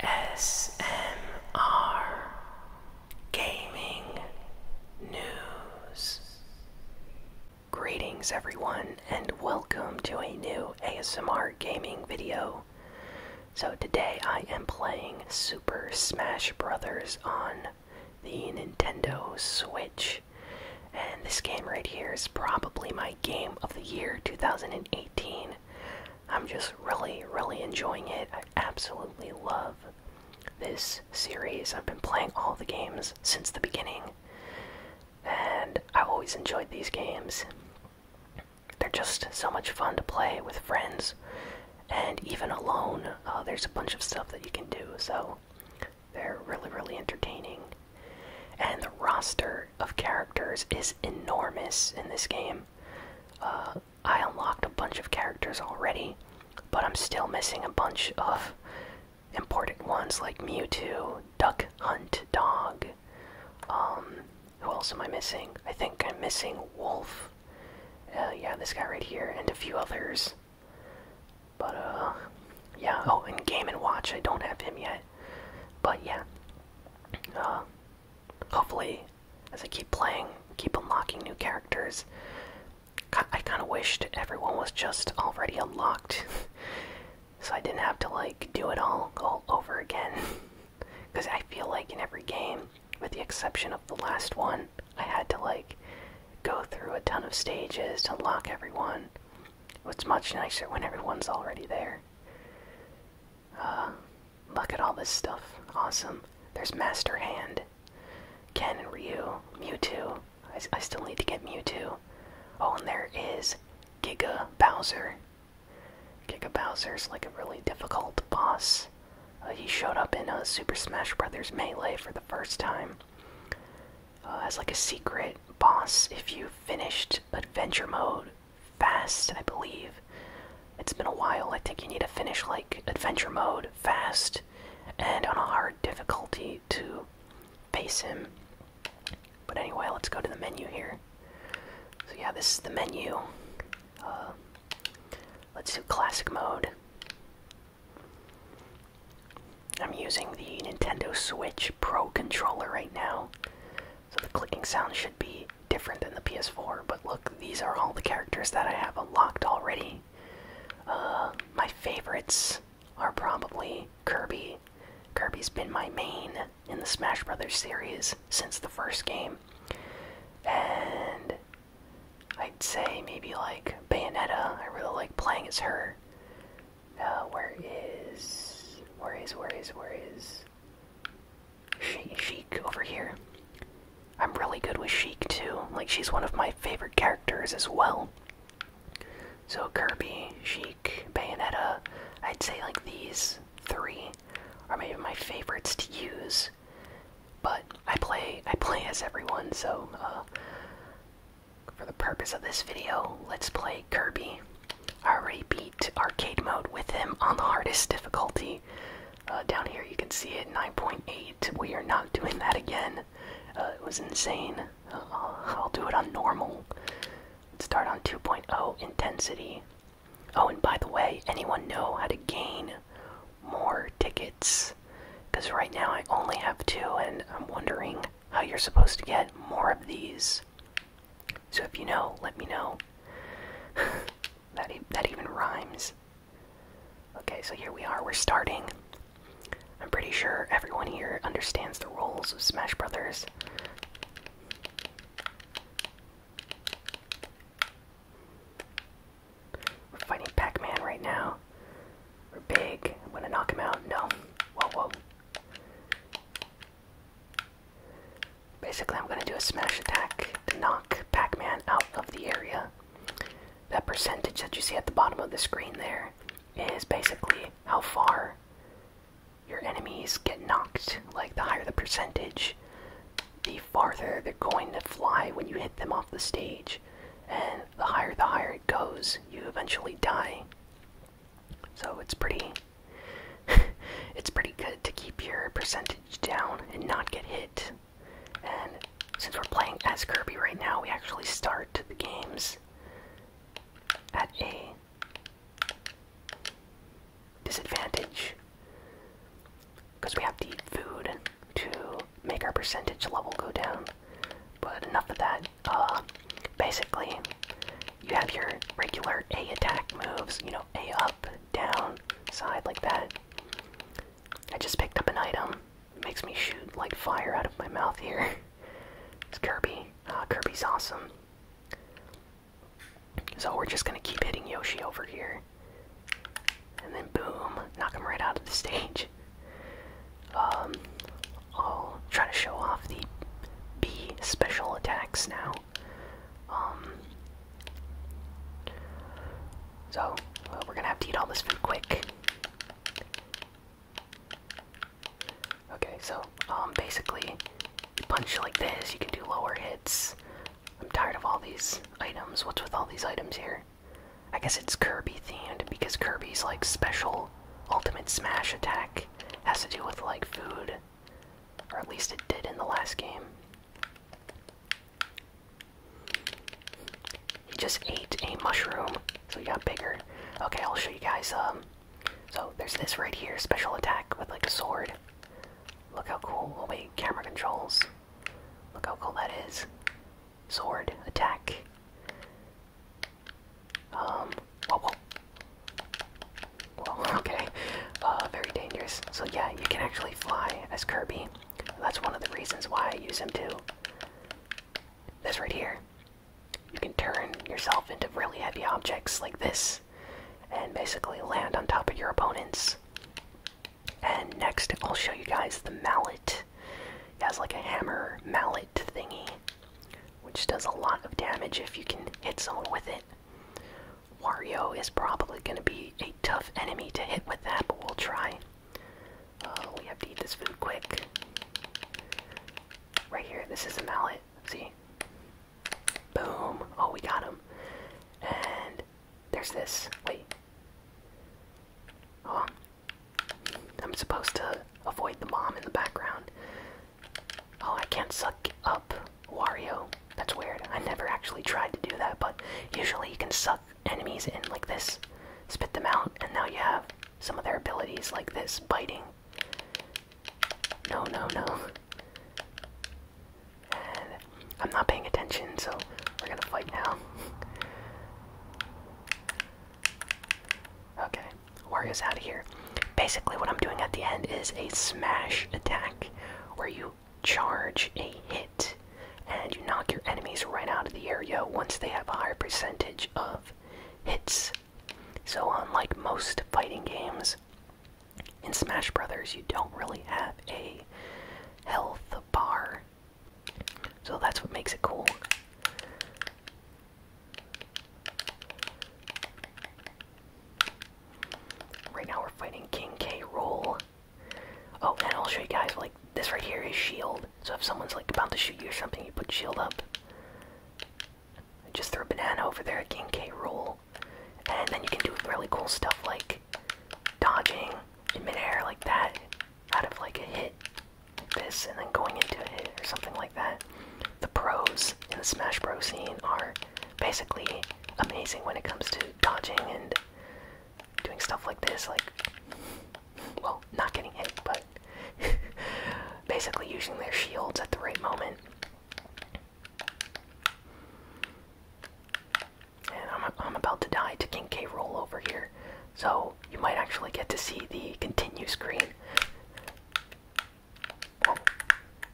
ASMR Gaming News. Greetings, everyone, and welcome to a new ASMR gaming video. So, today I am playing Super Smash Bros. on the Nintendo Switch. And this game right here is probably my game of the year 2018. I'm just really, really enjoying it. I absolutely love this series. I've been playing all the games since the beginning, and I've always enjoyed these games. They're just so much fun to play with friends, and even alone, uh, there's a bunch of stuff that you can do, so they're really, really entertaining. And the roster of characters is enormous in this game. Uh, I unlocked a bunch of characters already, but I'm still missing a bunch of important ones like Mewtwo, Duck Hunt Dog. Um, who else am I missing? I think I'm missing Wolf. Uh, yeah, this guy right here, and a few others. But, uh, yeah, oh, in Game & Watch, I don't have him yet. But, yeah, uh, hopefully, as I keep playing, keep unlocking new characters. I kind of wished everyone was just already unlocked, so I didn't have to like do it all all over again. Because I feel like in every game, with the exception of the last one, I had to like go through a ton of stages to unlock everyone. It's much nicer when everyone's already there. Uh, look at all this stuff. Awesome. There's Master Hand, Ken and Ryu, Mewtwo. I, I still need to get Mewtwo. Oh, and there is Giga Bowser. Giga Bowser's like a really difficult boss. Uh, he showed up in uh, Super Smash Bros. Melee for the first time uh, as like a secret boss if you finished Adventure Mode fast, I believe. It's been a while. I think you need to finish like adventure mode fast and on a hard difficulty to pace him. But anyway, let's go to the menu here. So yeah, this is the menu. Uh, let's do classic mode. I'm using the Nintendo Switch Pro controller right now. So the clicking sound should be different than the PS4. But look, these are all the characters that I have unlocked already. Uh, my favorites are probably Kirby. Kirby's been my main in the Smash Brothers series since the first game. And I'd say maybe like Bayonetta. I really like playing as her. Uh, where is... Where is, where is, where is... Sheik over here. I'm really good with Sheik too. Like, she's one of my favorite characters as well. So Kirby, Sheik, Bayonetta, I'd say like these three are maybe my favorites to use. But I play I play as everyone, so uh, for the purpose of this video, let's play Kirby I already beat arcade mode with him on the hardest difficulty. Uh, down here you can see it 9.8. We are not doing that again. Uh, it was insane. Uh, I'll do it on normal. start on 2.0 intensity. Oh, and by the way, anyone know how to gain more tickets? Because right now I only have two, and I'm wondering how you're supposed to get more of these. So if you know, let me know. that that even rhymes. Okay, so here we are. We're starting. I'm pretty sure everyone here understands the rules of Smash Brothers. We're fighting Pac-Man right now. We're big. I'm gonna knock him out. No. Whoa, whoa. Basically, I'm going to do a smash attack to knock Pac Man out of the area. That percentage that you see at the bottom of the screen there is basically how far your enemies get knocked. Like, the higher the percentage, the farther they're going to fly when you hit them off the stage. And the higher the higher it goes, you eventually die. So it's pretty it's pretty good to keep your percentage down and not get hit. And since we're playing as Kirby right now, we actually start the games at a disadvantage because we have to eat food to make our percentage level go down. But enough of that uh, basically, you have your regular A attack moves, you know, A up, down, side, like that. I just picked up an item. makes me shoot like fire out of my mouth here. it's Kirby. Uh, Kirby's awesome. So we're just gonna keep hitting Yoshi over here. And then boom, knock him right out of the stage. Um, I'll try to show off the B special attacks now. Um, so we're gonna have to eat all this food quick. Okay, so um, basically, you punch like this. You can do lower hits. I'm tired of all these items. What's with all these items here? I guess it's Kirby themed because Kirby's like special ultimate smash attack has to do with like food or at least it did in the last game. He just ate a mushroom, so he got bigger. Okay, I'll show you guys. Um, so there's this right here, special attack with like a sword. Look how cool. Oh wait, camera controls. Look how cool that is. Sword attack. Um, whoa, whoa. okay, uh, very dangerous. So yeah, you can actually fly as Kirby. That's one of the reasons why I use him too. This right here. You can turn yourself into really heavy objects like this, and basically land on top of your opponents. And next, I'll show you guys the mallet. It has like a hammer mallet thingy which does a lot of damage if you can hit someone with it. Wario is probably going to be a tough enemy to hit with that, but we'll try. Uh, we have to eat this food quick. Right here, this is a mallet. See? Boom. Oh, we got him. And there's this. Wait. Oh. I'm supposed to avoid the bomb in the background. Oh, I can't suck up Wario. That's weird. I never actually tried to do that, but usually you can suck enemies in like this, spit them out, and now you have some of their abilities like this biting. No, no, no. I'm not paying attention, so we're gonna fight now. okay. Wario's out of here. Basically, what I'm doing at the end is a smash attack where you charge a hit and you knock your enemies right out of the area once they have a higher percentage of hits. So, unlike most fighting games, in Smash Brothers, you don't really have a health bar. So that's what makes it cool. Right now we're fighting King K. Roll. Oh, and I'll show you guys, like, this right here is shield. So if someone's, like, about to shoot you or something, you put shield up. just throw a banana over there King K. Roll. And then you can do really cool stuff like dodging in midair like that out of, like, a hit. Like this, and then going into a hit or something like that the pros in the Smash Bros scene are basically amazing when it comes to dodging and doing stuff like this, like well, not getting hit, but basically using their shields at the right moment. And I'm about to die to King K. Roll over here, so you might actually get to see the continue screen.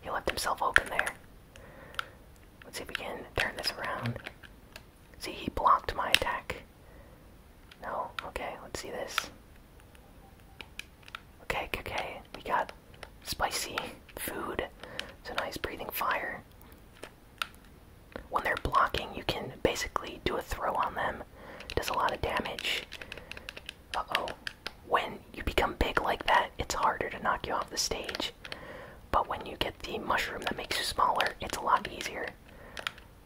He left himself open there. Let's see if we can turn this around. See, he blocked my attack. No, okay, let's see this. Okay, okay, we got spicy food. So now he's breathing fire. When they're blocking, you can basically do a throw on them. Does a lot of damage. Uh oh. When you become big like that, it's harder to knock you off the stage. But when you get the mushroom that makes you smaller, it's a lot easier.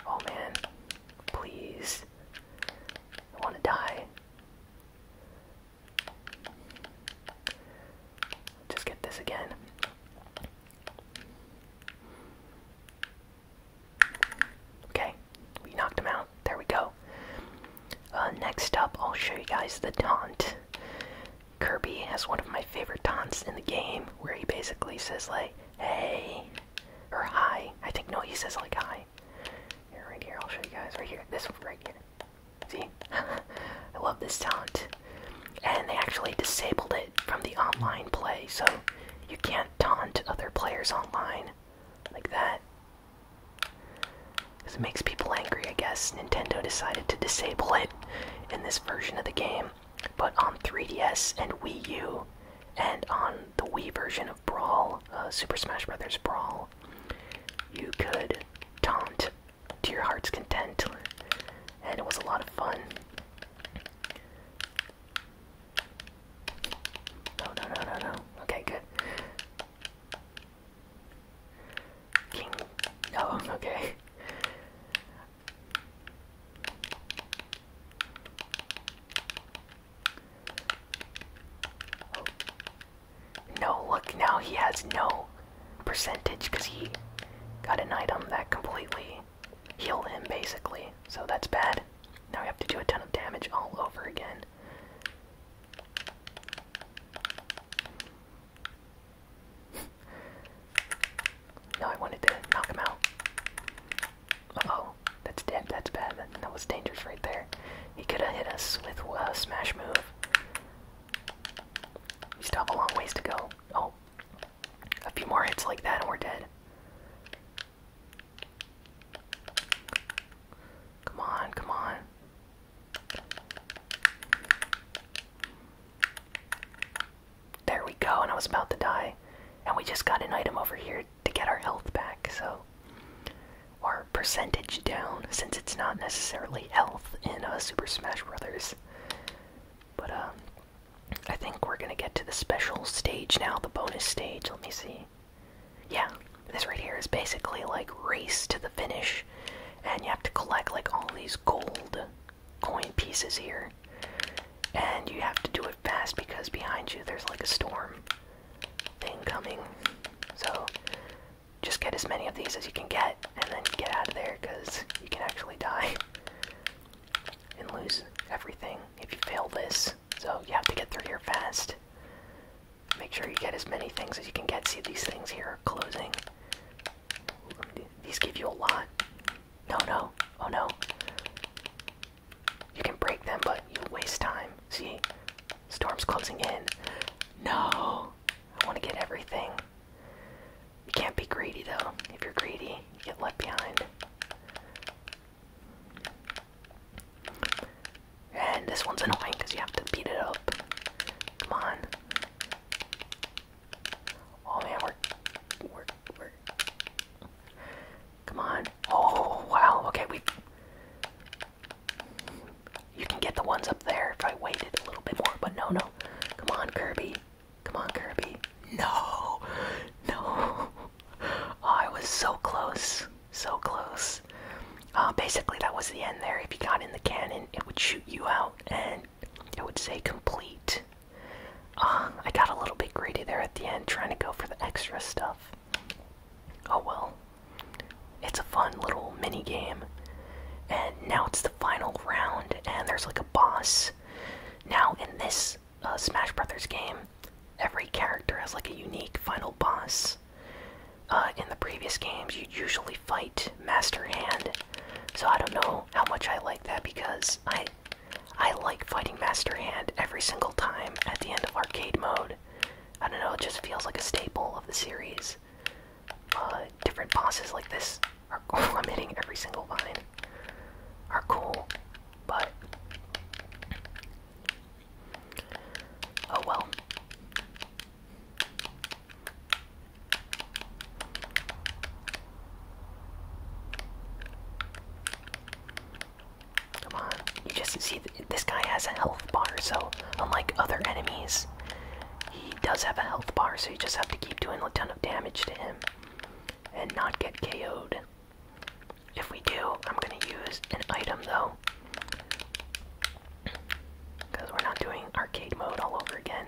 Oh man. Please. I want to die. Just get this again. Okay, we knocked him out. There we go. Uh, next up, I'll show you guys the taunt. Kirby has one of my favorite taunts in the game, where he basically says like, "Hey," or "Hi." I think no, he says like "Hi." Here, right here. I'll show you guys right here. This one right here. See, I love this taunt. And they actually disabled it from the online play, so you can't taunt other players online like that. This makes people angry, I guess. Nintendo decided to disable it in this version of the game, but on 3DS and Wii U, and on the Wii version of Brawl, uh, Super Smash Bros. Brawl, you could taunt to your heart's content, and it was a lot of fun. No, no, no, no, no. Okay, good. No. okay. No, look, now he has no percentage because he got an item that completely healed him, basically. So that's bad. Now we have to do a ton of damage all over again no, I wanted to knock him out. oh, that's dead. That's bad. That, was dangerous right there. He could have hit us with a smash move. We still have a long ways to go. Oh, a few more hits like that and we're dead. Come on, come on. There we go, and I was about to die. And we just got an item over here to get our health back, so. Our percentage down, since it's not necessarily health in a uh, Super Smash Brothers. But, um, I think we're gonna get to the special stage now, the bonus stage. Let me see. Yeah, this right here is basically like race to the finish, and you have to collect like all these gold coin pieces here. And you have to do it fast because behind you there's like a storm thing coming. So just get as many of these as you can get and then get out of there because you can actually die and lose everything if you fail this. So you have to get through here fast. Make sure you get as many things as you can get. See these things here are closing. These give you a lot. No, no. Oh no. You can break them, but you waste time. See? Storm's closing in. No! I want to get everything. You can't be greedy though. If you're greedy, you get left behind. And this one's annoying because you have to beat it up. Come on. Oh man, we're we Come on. Oh wow. Okay, we. You can get the ones up there if I waited a little bit more, but no, no. Come on, Kirby. Come on, Kirby. No, no. Oh, I was so close, so close. Uh, basically, that was the end there. If you got in the cannon, it would shoot you out and it would say complete. Uh, I got a little bit greedy there at the end trying to go for the extra stuff. Oh well. It's a fun little mini game. And now it's the final round, and there's like a boss. Now, in this a uh, Smash Brothers game, every character has like a unique final boss. Uh, in the previous games, you'd usually fight Master Hand, so I don't know how much I like that because I, I like fighting Master Hand every single time at the end of arcade mode. I don't know, it just feels like a staple of the series. Uh, different bosses like this are cool. I'm hitting every single line. Are cool, but Oh well. Come on. You just see, this guy has a health bar, so unlike other enemies, he does have a health bar, so you just have to keep doing a ton of damage to him and not get KO'd. If we do, I'm gonna use an item though. Because we're not doing arcade mode all over again.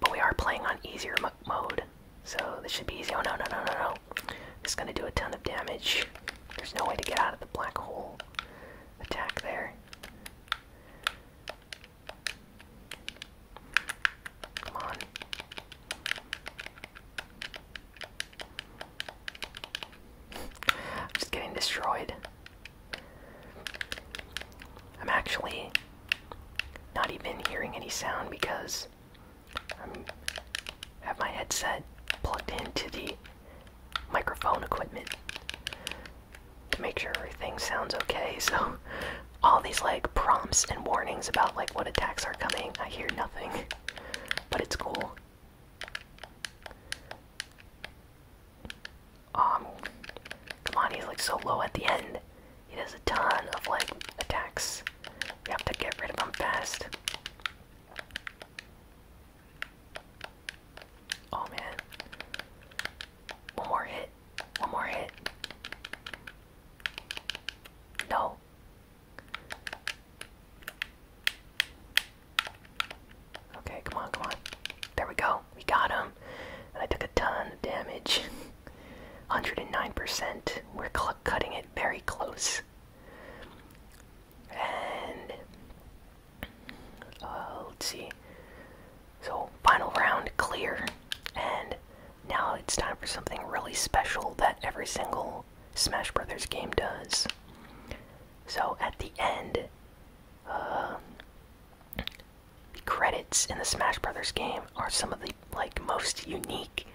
But we are playing on easier mode. So this should be easy. Oh no, no, no, no, no. This is gonna do a ton of damage. There's no way to get out of the black hole attack there. Come on. I'm just getting destroyed. I'm actually not even hearing any sound because I have my headset plugged into the microphone equipment to make sure everything sounds okay. So all these like prompts and warnings about like what attacks are coming, I hear nothing. But it's cool. Um, come on, he's like so low at the end. He does a ton of like attacks. We have to get rid of him fast. Oh man. One more hit. One more hit. No. Okay, come on, come on. There we go. We got him. And I took a ton of damage. 109%. We're cutting it very close. And uh, let's see. So, final round clear. And now it's time for something really special that every single Smash Brothers game does. So at the end, the uh, credits in the Smash Brothers game are some of the like most unique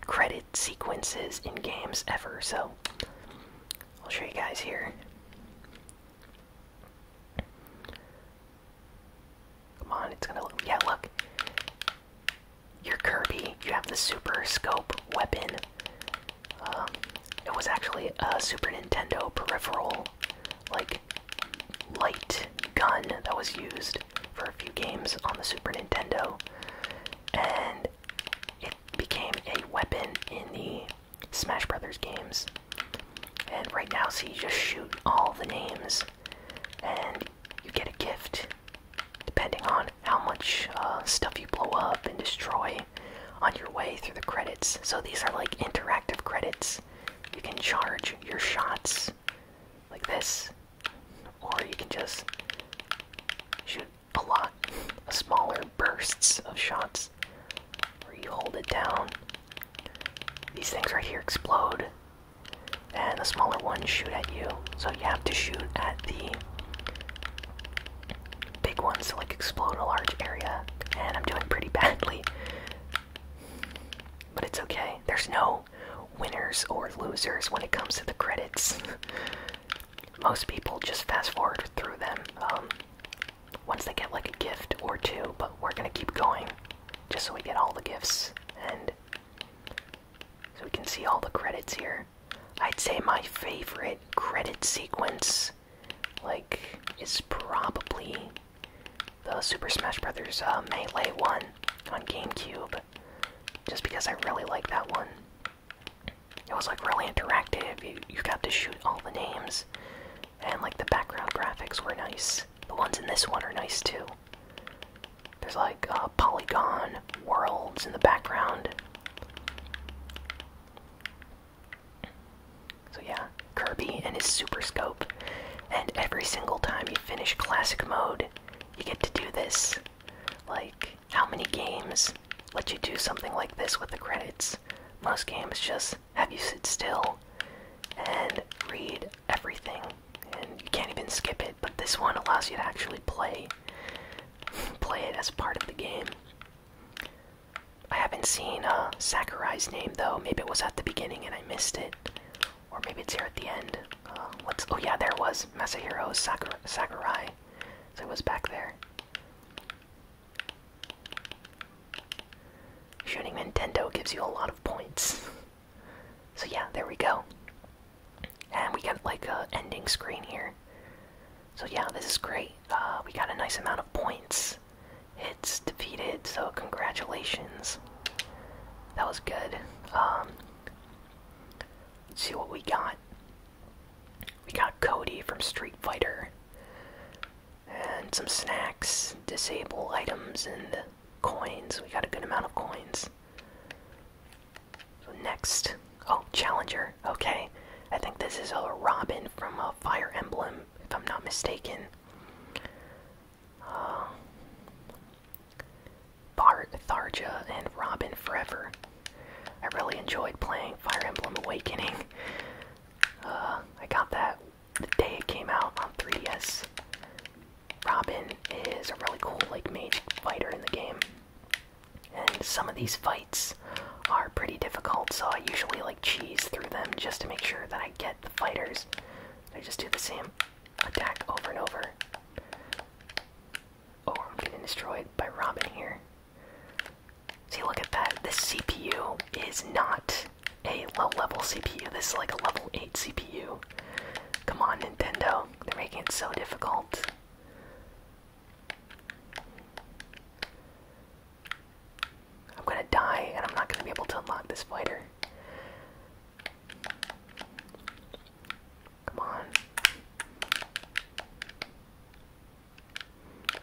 credit sequences in games ever. So I'll show you guys here. Come on, it's gonna look. Yeah, look. You're Kirby. You have the Super Scope weapon. Um, it was actually a Super Nintendo peripheral, like light gun that was used for a few games on the Super Nintendo, and it became a weapon in the Smash Brothers games. And right now, so you just shoot all the names, and you get a gift depending on how much uh, stuff you blow up and destroy on your way through the credits. So these are like interactive credits. You can charge your shots like this, or you can just shoot a lot, smaller bursts of shots where you hold it down. These things right here explode, and the smaller ones shoot at you. So you have to shoot at the big ones to like explode a large area, and I'm doing pretty badly. But it's okay. There's no winners or losers when it comes to the credits. Most people just fast forward through them um, once they get like a gift or two, but we're gonna keep going just so we get all the gifts and so we can see all the credits here. I'd say my favorite credit sequence, like, is probably the Super Smash Bros. Uh, Melee one on GameCube, just because I really like that one. It was like really interactive. You you got to shoot all the names, and like the background graphics were nice. The ones in this one are nice too. There's like uh, polygon worlds in the background. So yeah, Kirby and his super scope. And every single time you finish classic mode, you get to do this. Like, how many games let you do something like this with the credits? Most games just have you sit still and read everything, and you can't even skip it but this one allows you to actually play play it as part of the game. I haven't seen uh, Sakurai's name though. Maybe it was at the beginning and I missed it, or maybe it's here at the end. Uh, oh yeah, there was Masahiro Sakurai. So it was back there. Shooting Nintendo gives you a lot of points. so yeah, there we go and we got like a ending screen here. So yeah, this is great. Uh, we got a nice amount of points. It's defeated, so congratulations. That was good. Um, let's see what we got. We got Cody from Street Fighter. And some snacks, disable items, and coins. We got a good amount of coins. Next, oh Challenger. Okay, I think this is a Robin from a uh, Fire Emblem, if I'm not mistaken. Uh, Bart, Tharja, and Robin Forever. I really enjoyed playing Fire Emblem Awakening. Uh, I got that the day it came out on 3DS. Robin is a really cool like mage fighter in the game. And some of these fights are pretty difficult, so I usually like cheese through them just to make sure that I get the fighters. I just do the same attack over and over. Oh, I'm getting destroyed by Robin here. See, look at that. This CPU is not a low-level CPU. This is like a level 8 CPU. Come on, Nintendo. They're making it so difficult. I'm gonna die, and I'm not gonna be able to unlock this fighter. Come on.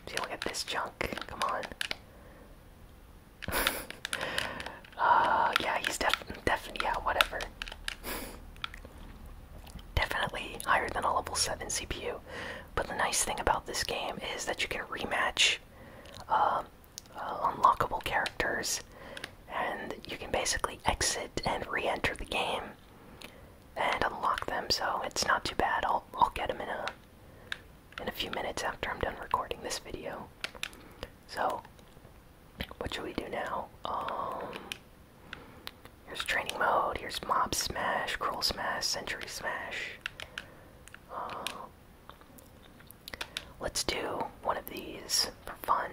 See, look at this junk. Come on. uh, yeah, he's def definitely, yeah, whatever. Definitely higher than a level 7 CPU. But the nice thing about this game is that you can rematch um, uh, unlockable characters, and you can basically exit and re enter the game and unlock them, so it's not too bad. I'll, I'll get them in a, in a few minutes after I'm done recording this video. So, what should we do now? Um, here's training mode. Here's mob smash, crawl smash, century smash. Uh, let's do one of these for fun.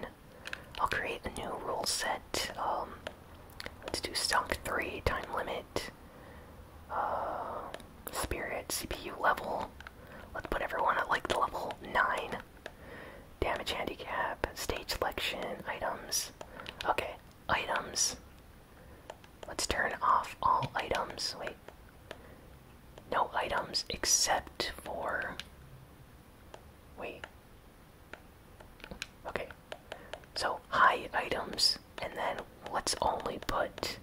I'll create a new rule set. Um, let's do stock three, time limit, uh, spirit, CPU level. Let's put everyone at like the level nine damage handicap, stage selection, items. Okay, items. Let's turn off all items. Wait. No items except for. Wait. Okay. So, high items, and then let's only put.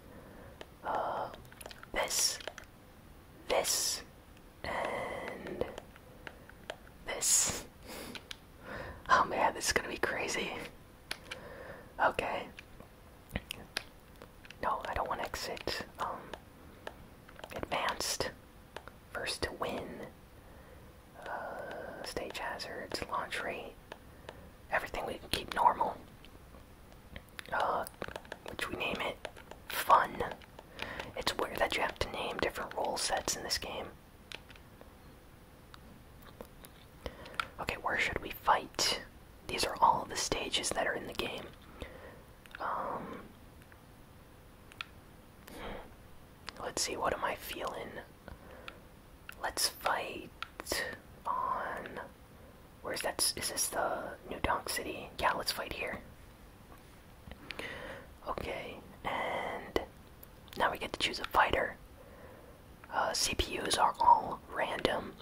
Uh, this. This and this. Oh man, this is gonna be crazy. Okay. No, I don't want to exit. Um, advanced. First to win. Uh, stage hazards, launch rate. Everything we can keep normal. Uh, which we name it fun. It's weird that you have to name different role sets in this game. Okay, where should we fight? These are all the stages that are in the game. Um, let's see, what am I feeling? Let's fight on. Where's that? Is this the New Donk City? Yeah, let's fight here. Okay, and now we get to choose a fighter. Uh, CPUs are all random.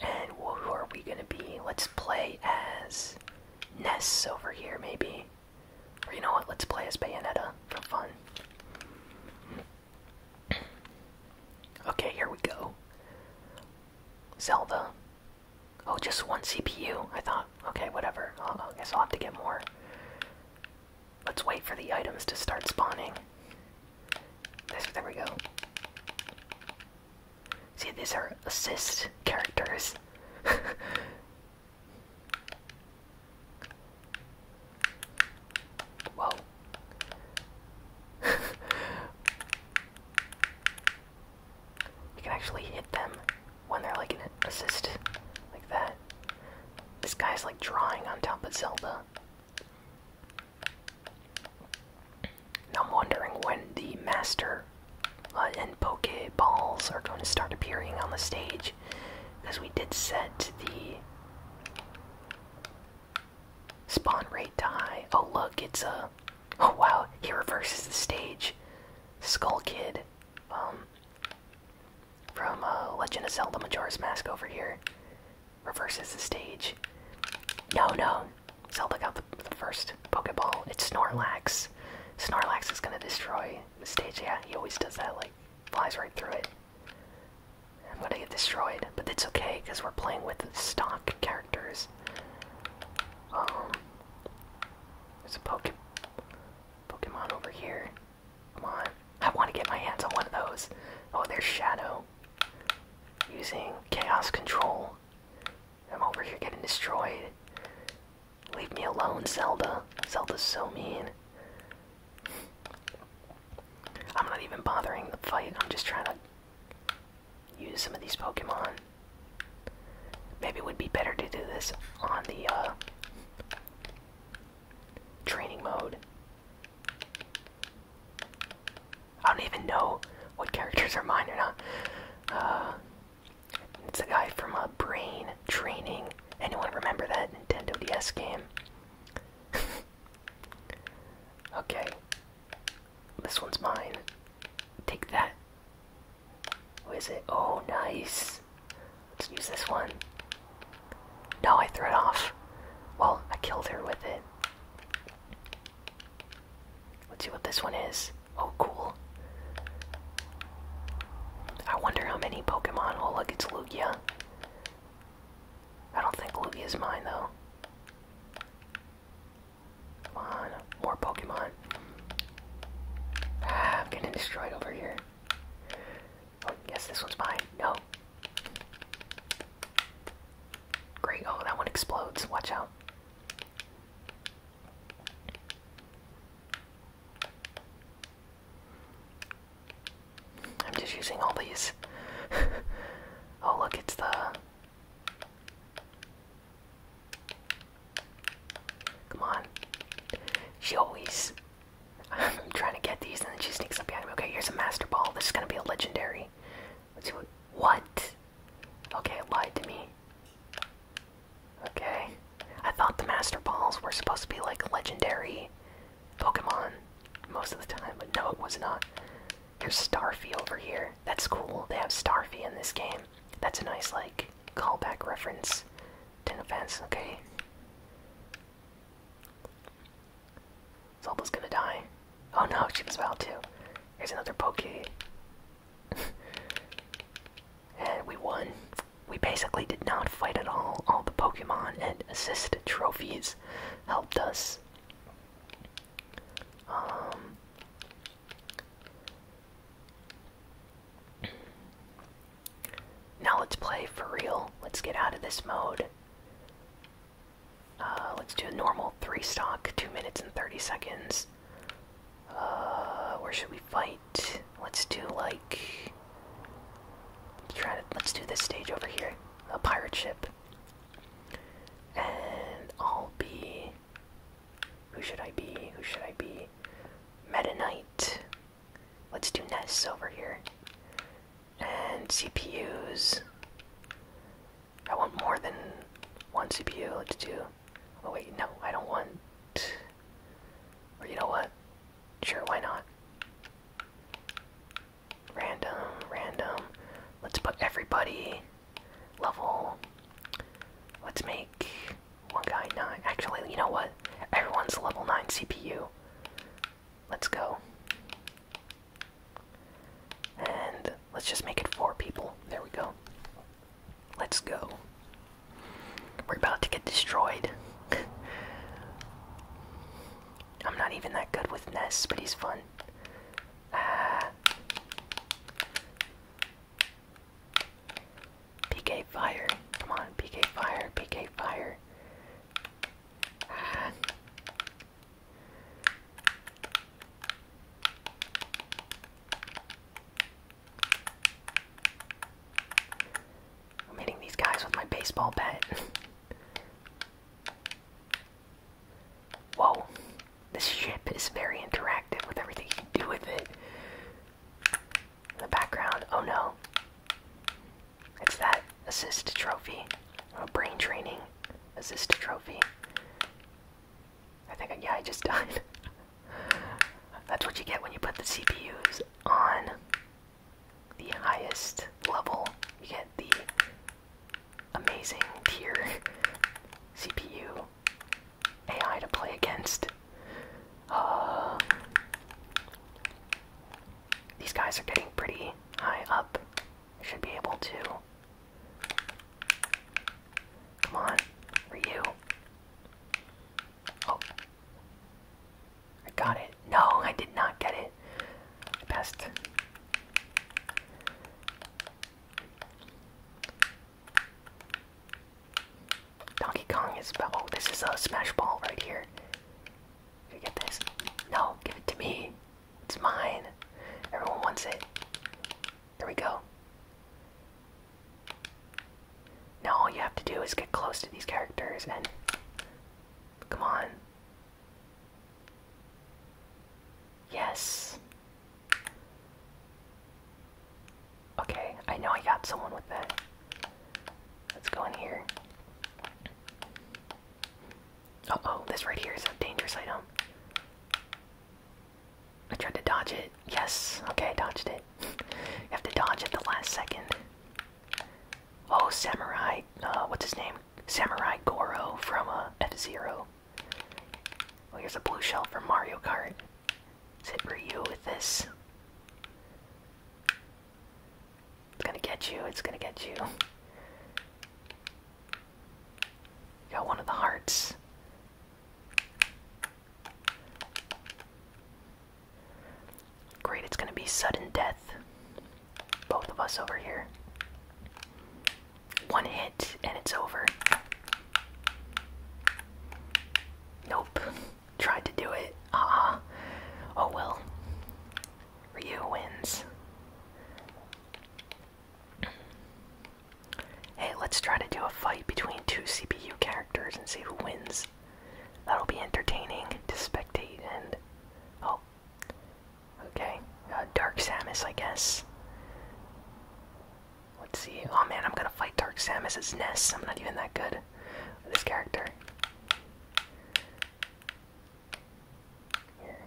And who are we gonna be? Let's play as Ness over here, maybe. Or you know what? Let's play as Bayonetta for fun. Okay, here we go. Zelda. Oh, just one CPU, I thought. Okay, whatever. i guess I'll have to get more. Let's wait for the items to start spawning. This, there we go. See, these are assist characters. Whoa. You can actually hit them when they're like an assist, like that. This guy's like drawing on top of Zelda. I'm wondering when the master uh, and Poke Balls are going to start appearing on the stage, because we did set the spawn rate to high. Oh look, it's a. Oh wow, he reverses the stage. Skull Kid um, from uh, Legend of Zelda Majora's Mask over here reverses the stage. No, no, Zelda got the, the first Pokeball. It's Snorlax. Snorlax is gonna destroy the stage. Yeah, he always does that, like, flies right through it. I'm gonna get destroyed, but that's okay, because we're playing with stock characters. Um, there's a Pokemon, Pokemon over here. Come on. I want to get my hands on one of those. Oh, there's Shadow. Using Chaos Control. I'm over here getting destroyed. Leave me alone, Zelda. Zelda's so mean. I'm not even bothering the fight. I'm just trying to use some of these Pokemon. Maybe it would be better to do this on the uh, training mode. I don't even know what characters are mine or not. Uh, it's a guy from a uh, Brain Training. Anyone remember that Nintendo DS game? okay. This one's mine. Take that. What is it? Oh, nice. Let's use this one. No, I threw it off. Well, I killed her with it. Let's see what this one is. Oh, cool. I wonder how many Pokemon. Oh, look, it's Lugia. I don't think is mine, though. Come on, more Pokemon. Ah, I'm getting destroyed over here. Oh, yes, this one's mine. No. Great. Oh, that one explodes. Watch out. I'm just using all these. oh, look, it's the. Come on. She always. I'm trying to get these, and then she sneaks up behind me. Okay, here's a Master Ball. This is gonna be a legendary. Let's see what. What? Okay, it lied to me. Okay. I thought the Master Balls were supposed to be like legendary Pokemon most of the time, but no, it was not. There's Starfy over here. That's cool. They have Starfy in this game. That's a nice, like, callback reference to an offense, okay? Zolba's gonna die. Oh no, she was about to. Here's another poke. and we won. We basically did not fight at all. All the Pokemon and assist trophies helped us. Um, now let's play for real. Let's get out of this mode. Uh, let's do a normal three stock, two minutes and 30 seconds. Uh, where should we fight? Let's do like, let's try to, let's do this stage over here, a pirate ship. And I'll be who should I be? Who should I be? Meta Knight. Let's do nests over here. And CPUs. I want more than one CPU. Let's do. Oh, wait, no, I don't want. Or you know what? Sure, why not? Random, random. Let's put everybody level. Let's make one guy 9. Actually, you know what? Everyone's level 9 CPU. Let's go. And let's just make it 4 people. There we go. Let's go. We're about to get destroyed. I'm not even that good with Ness, but he's fun. Ah. PK fire. Come on, PK fire, PK fire. I'm hitting these guys with my baseball bat. Whoa, this ship is very interactive with everything you can do with it. In the background, oh no. It's that assist trophy. Oh, brain training assist trophy. I think, I, yeah, I just died. That's what you get when you put the CPUs on the highest level. You get the amazing tier CPU AI to play against. Uh, these guys are getting pretty high up. Should be able to. Come on, Ryu. Oh. I got it. No, I did not get it. I passed. Donkey Kong is oh, this is a Smash Ball right here. You get this? No, give it to me. It's mine. Everyone wants it. There we go. Now all you have to do is get close to these characters and come on. Yes. Okay, I know I got someone with that. Let's go in here. Oh oh, this right here is a dangerous item. I tried to dodge it. Yes, okay, I dodged it. you have to dodge at the last second. Oh, Samurai, uh, what's his name? Samurai Goro from uh, F Zero. Oh, here's a blue shell from Mario Kart. Is it for you? with this. It's gonna get you, it's gonna get you. Got one of the hearts. Great, it's gonna be sudden death. Both of us over here. One hit and it's over. Nope. Tried to do it. Uh Oh well. Ryu wins. Hey, let's try to do a fight between two CPU characters and see who wins. That'll be entertaining to spectate and. Oh. Okay. Uh, Dark Samus, I guess. Let's see. Oh man, I'm gonna fight Dark Samus's Ness. I'm not even that good with this character. Here.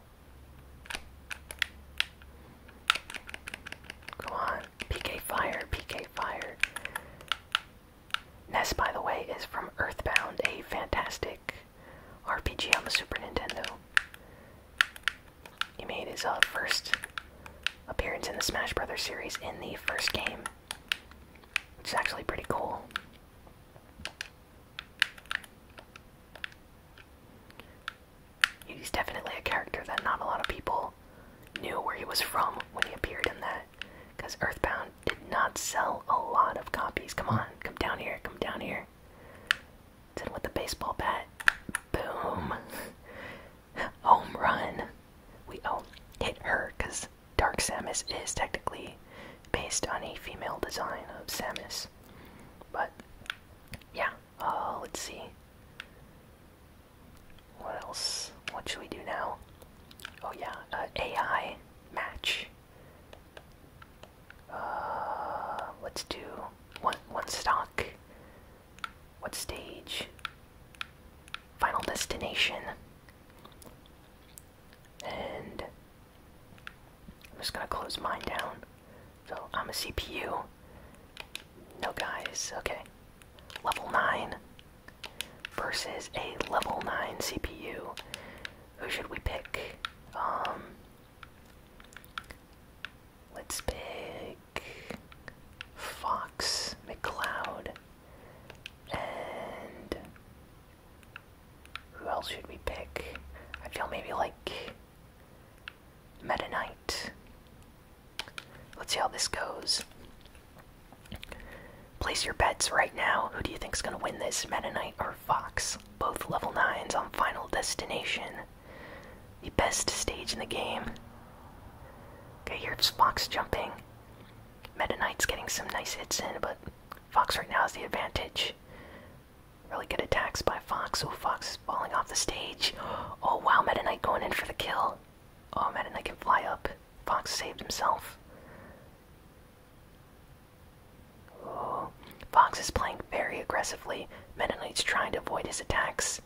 on. PK Fire, PK Fire. Ness, by the way, is from Earthbound, a fantastic RPG on the Super Nintendo. He made his uh, first appearance in the Smash Brothers series in the first game, which is actually pretty cool. He's definitely a character that not a lot of people knew where he was from when he appeared in that, because Earthbound did not sell a lot of copies. Come on, come down here, come down here. It's with the baseball bat. Boom. Home run. We oh hit her because Dark Samus is technically based on a female design of Samus. But yeah, uh, let's see. What else? What should we do now? Oh yeah, uh, AI match. Uh, let's do one one stock what stage? Final destination. And I'm just gonna close mine down. So I'm a CPU. No guys, okay. Level 9 versus a level 9 CPU. Who should we pick? Um. Let's pick. Fox, McLeod, and who else should we pick? I feel maybe like Meta Knight. Let's see how this goes. Place your bets right now. Who do you think is gonna win this? Meta Knight or Fox? Both level 9s on Final Destination. The best stage in the game. Okay, here's Fox jumping. Meta Knight's getting some nice hits in, but Fox right now has the advantage. Really good attacks by Fox. Oh, Fox is falling off the stage. Oh, wow, Meta Knight going in for the kill. Oh, Meta Knight can fly up. Fox saved himself. Oh, Fox is playing very aggressively. Meta Knight's trying to avoid his attacks.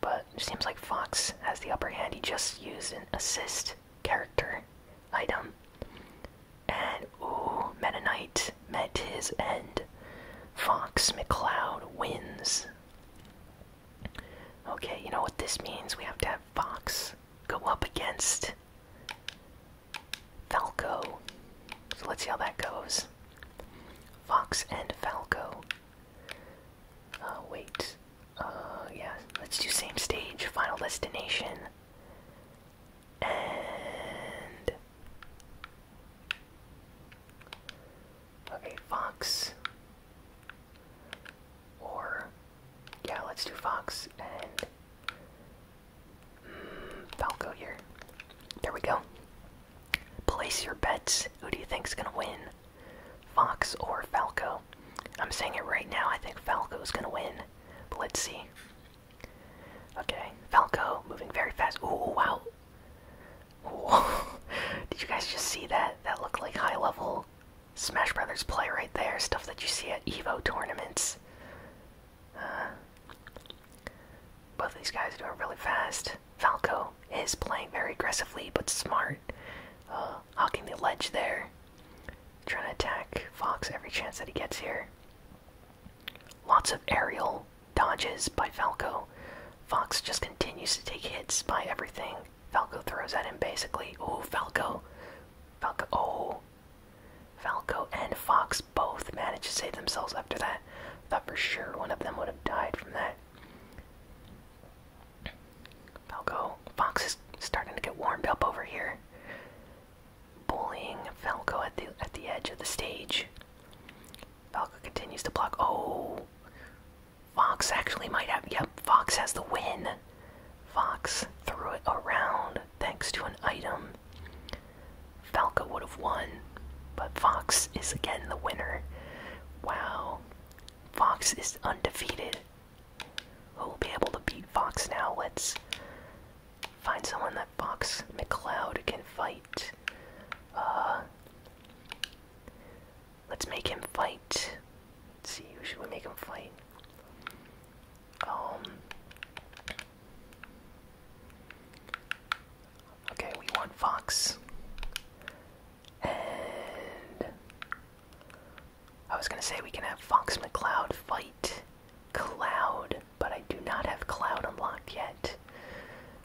But it seems like Fox has the upper hand. He just used an assist character item. And ooh, Meta met his end. Fox McCloud wins. Okay, you know what this means? We have to have Fox go up against Falco. So let's see how that goes. Fox and Falco. Uh, wait. Uh, yeah. Let's do same stage, Final Destination. And. Okay, Fox. Or. Yeah, let's do Fox and. Mm, Falco here. There we go. Place your bets. Who do you think's gonna win? Fox or Falco? I'm saying it right now, I think Falco's gonna win. But let's see. Okay, Falco moving very fast. Ooh, wow. Did you guys just see that? That looked like high level Smash Brothers play right there. Stuff that you see at EVO tournaments. Uh, both of these guys are doing really fast. Falco is playing very aggressively but smart, uh, hawking the ledge there. Trying to attack Fox every chance that he gets here. Lots of aerial dodges by Falco. Fox just continues to take hits by everything Falco throws at him, basically. oh Falco. Falco. Oh. Falco and Fox both managed to save themselves after that. Thought for sure one of them would have died from that. Falco, Fox is starting to get warmed up over here. Bullying Falco at the at the edge of the stage. Falco continues to block. Oh, Fox actually might have. Yep, Fox has the win. Fox threw it around thanks to an item. Falco would have won, but Fox is again the winner. Wow. Fox is undefeated. Who'll be able to beat Fox now? Let's find someone that Fox McCloud can fight. Uh, let's make him fight. see, who should we make him fight? Um, Okay, we want Fox. And I was gonna say we can have Fox McCloud fight Cloud, but I do not have Cloud unlocked yet.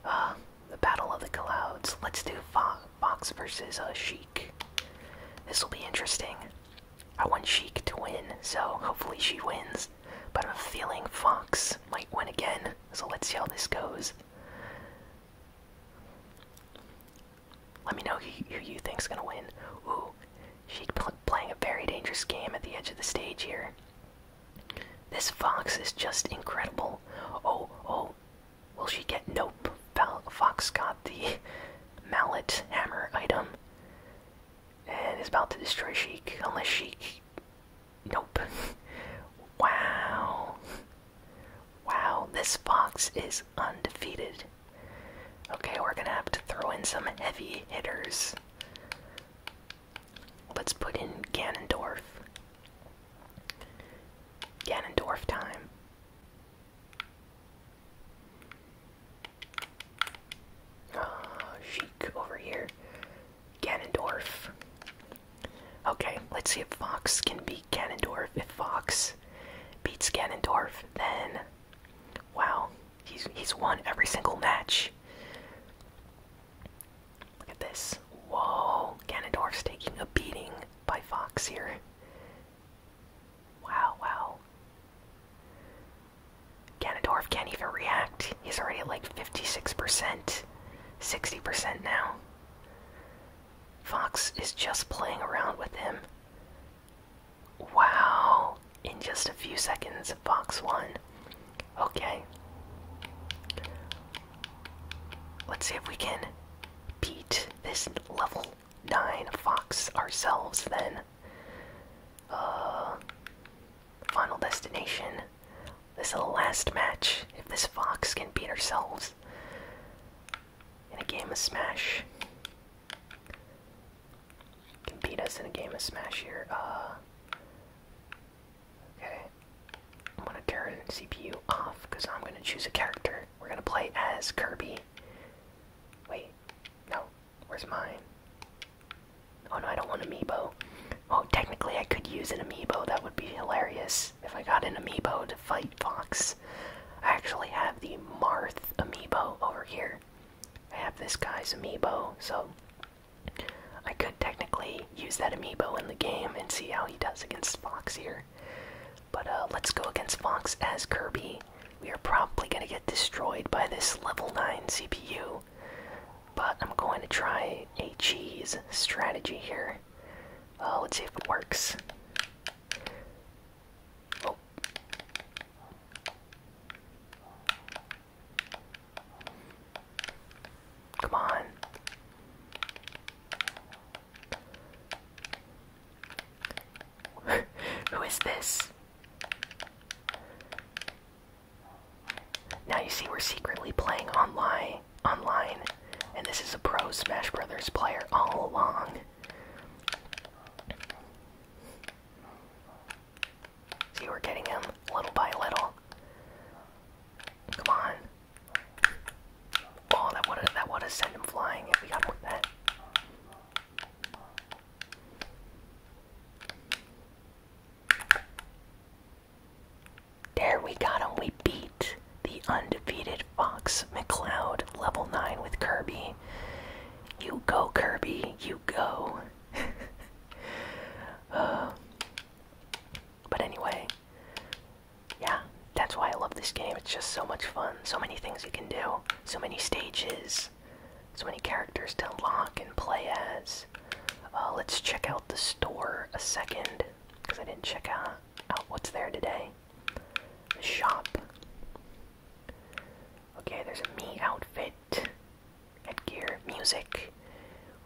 Uh, the Battle of the Clouds. Let's do Fo Fox versus a uh, Sheik. This will be interesting. I want Sheik to win, so hopefully she wins. But I'm feeling Fox might win again. So let's see how this goes. Let me know who, you think's gonna win. Ooh, she's playing a very dangerous game at the edge of the stage here. This fox is just incredible. Oh, oh, will she get? Nope. Fox got the mallet hammer item and is about to destroy Sheik unless Sheik Nope. wow. Wow, this fox is undefeated. Okay, we're gonna have to throw in some heavy hitters. Let's put in Ganondorf. Ganondorf time. Ah, uh, Sheik over here. Ganondorf. Okay, let's see if Fox can beat Ganondorf. If Fox beats Ganondorf, then wow, he's he's won every single match. Look at this. Whoa, Ganondorf's taking a beating by Fox here. Wow, wow. Ganondorf can't even react. He's already like 56%. 60% now. Fox is just playing around with him. Wow! In just a few seconds, Fox won. Okay. Let's see if we can beat this level 9 Fox ourselves then. Uh, Final Destination. This is the last match. If this Fox can beat ourselves in a game of Smash, can beat us in a game of Smash here. Uh, okay, I'm gonna turn CPU off because I'm gonna choose a character. We're gonna play as Kirby. Wait, no, where's mine? Oh no, I don't want amiibo. Oh, technically I could use an amiibo. That would be hilarious if I got an amiibo to fight Fox. I actually have the Marth amiibo over here. I have this guy's amiibo, so I could technically use that amiibo in the game and see how he does against Fox here. But uh, let's go against Fox as Kirby. We are probably going to get destroyed by this level 9 CPU. But I'm going to try a cheese strategy here. Uh, let's see if it works. Oh. Come on. Who is this? Now you see we're secretly playing online online and this is a pro Smash Brothers player all along. See are getting him little by little. Come on. Oh that would that would have him flying if we got more that. There we got him. We beat the undefeated Fox McCloud level 9 with Kirby. You go, Kirby. You go. Uh, but anyway, yeah, that's why I love this game. It's just so much fun. So many things you can do, so many stages, so many characters to unlock and play as. Oh, let's check out the store a second, because I didn't check out, what's there today. The shop. Okay, there's a me outfit, headgear, music.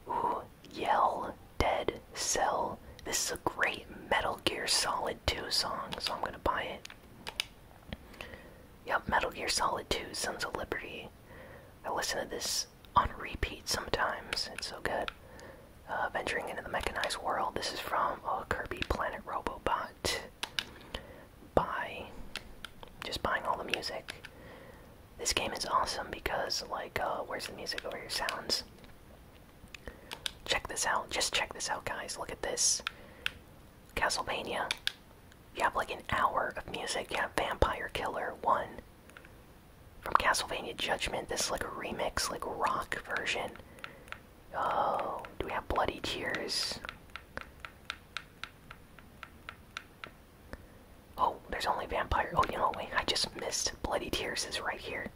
Ooh, yell, dead, cell. This is a great Metal Gear Solid 2 song, so I'm gonna buy it. Yep, Metal Gear Solid 2, Sons of Liberty. I listen to this on repeat sometimes. It's so good. Uh, venturing into the mechanized world. This is from uh, Kirby Planet Robobot. By just buying all the music. This game is awesome because, like, uh, where's the music over here? Sounds. Check this out. Just check this out, guys. Look at this. Castlevania. You have like an hour of music. You have Vampire Killer 1, from Castlevania Judgment. This like a remix, like rock version. Oh, do we have Bloody Tears? Oh, there's only vampire. Oh, you know, wait, I just missed. Bloody Tears is right here.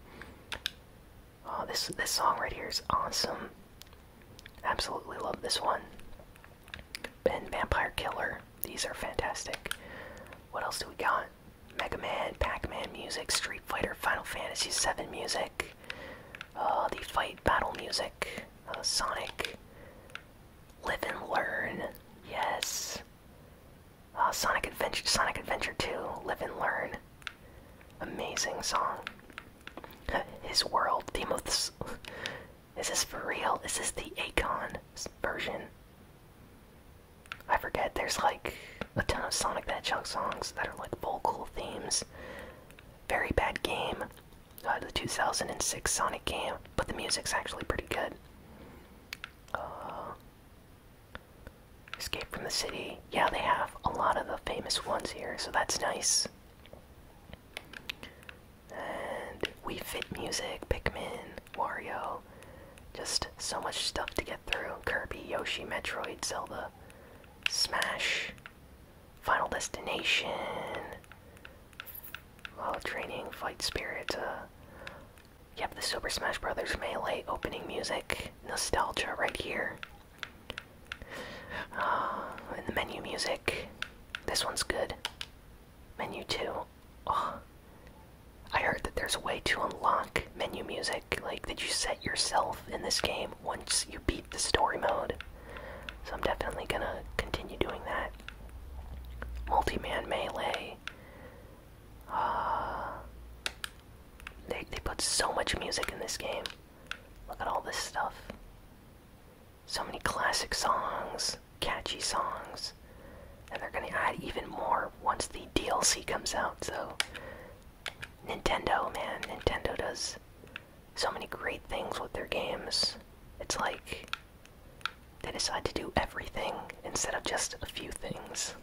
Oh, this this song right here is awesome. Absolutely love this one. Ben Vampire Killer. These are fantastic. What else do we got? Mega Man, Pac-Man music, Street Fighter, Final Fantasy VII music, Oh, the fight battle music, uh, Sonic, Live and Learn, yes, uh, Sonic Adventure, Sonic Adventure 2, Live and Learn, amazing song. His World, theme is this for real? Is this the Acon version? I forget, there's like a ton of Sonic the Hedgehog songs that are like vocal themes. Very bad game, uh, the 2006 Sonic game, but the music's actually pretty good. Uh, Escape from the City, yeah, they have a lot of the famous ones here, so that's nice and We Fit Music, Pikmin, Mario, Just so much stuff to get through. Kirby, Yoshi, Metroid, Zelda, Smash, Final Destination, while training, Fight Spirit. Uh, yep, the Super Smash Brothers Melee opening music, nostalgia right here. Uh, and the menu music. This one's good. Menu 2. Oh. I heard that there's a way to unlock menu music, like that you set yourself in this game once you beat the story mode. So I'm definitely gonna continue doing that. Multi-man melee. Uh, they, they put so much music in this game. Look at all this stuff so many classic songs, catchy songs, and they're going to add even more once the DLC comes out. So, Nintendo, man, Nintendo does so many great things with their games. It's like they decide to do everything instead of just a few things.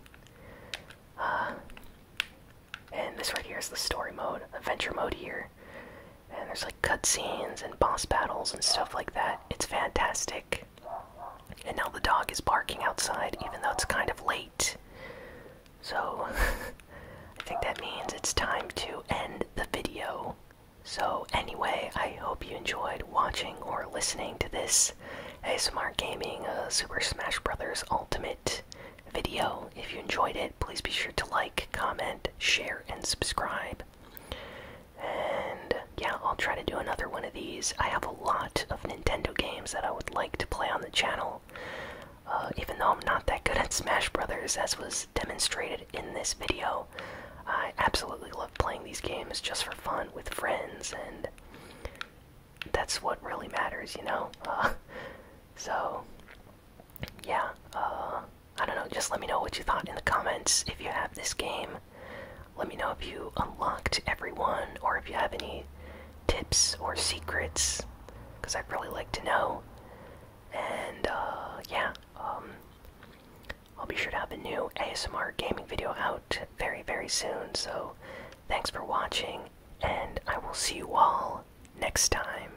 Uh, and this right here is the story mode, adventure mode here. And there's like cutscenes and boss battles and stuff like that. It's fantastic. And now the dog is barking outside, even though it's kind of late. So, I think that means it's time to end the video. So, anyway, I hope you enjoyed watching or listening to this ASMR Gaming uh, Super Smash Bros. Ultimate video. If you enjoyed it, please be sure to like, comment, share, and subscribe. And yeah, I'll try to do another one of these. I have a lot of Nintendo games that I would like to play on the channel. Uh, even though I'm not that good at Smash Brothers, as was demonstrated in this video, I absolutely love playing these games just for fun with friends, and that's what really matters, you know? Uh, so, yeah. Uh, I don't know, just let me know what you thought in the comments if you have this game. Let me know if you unlocked everyone or if you have any tips or secrets, because I'd really like to know. And uh, yeah, um, I'll be sure to have a new ASMR gaming video out very, very soon. So thanks for watching, and I will see you all next time.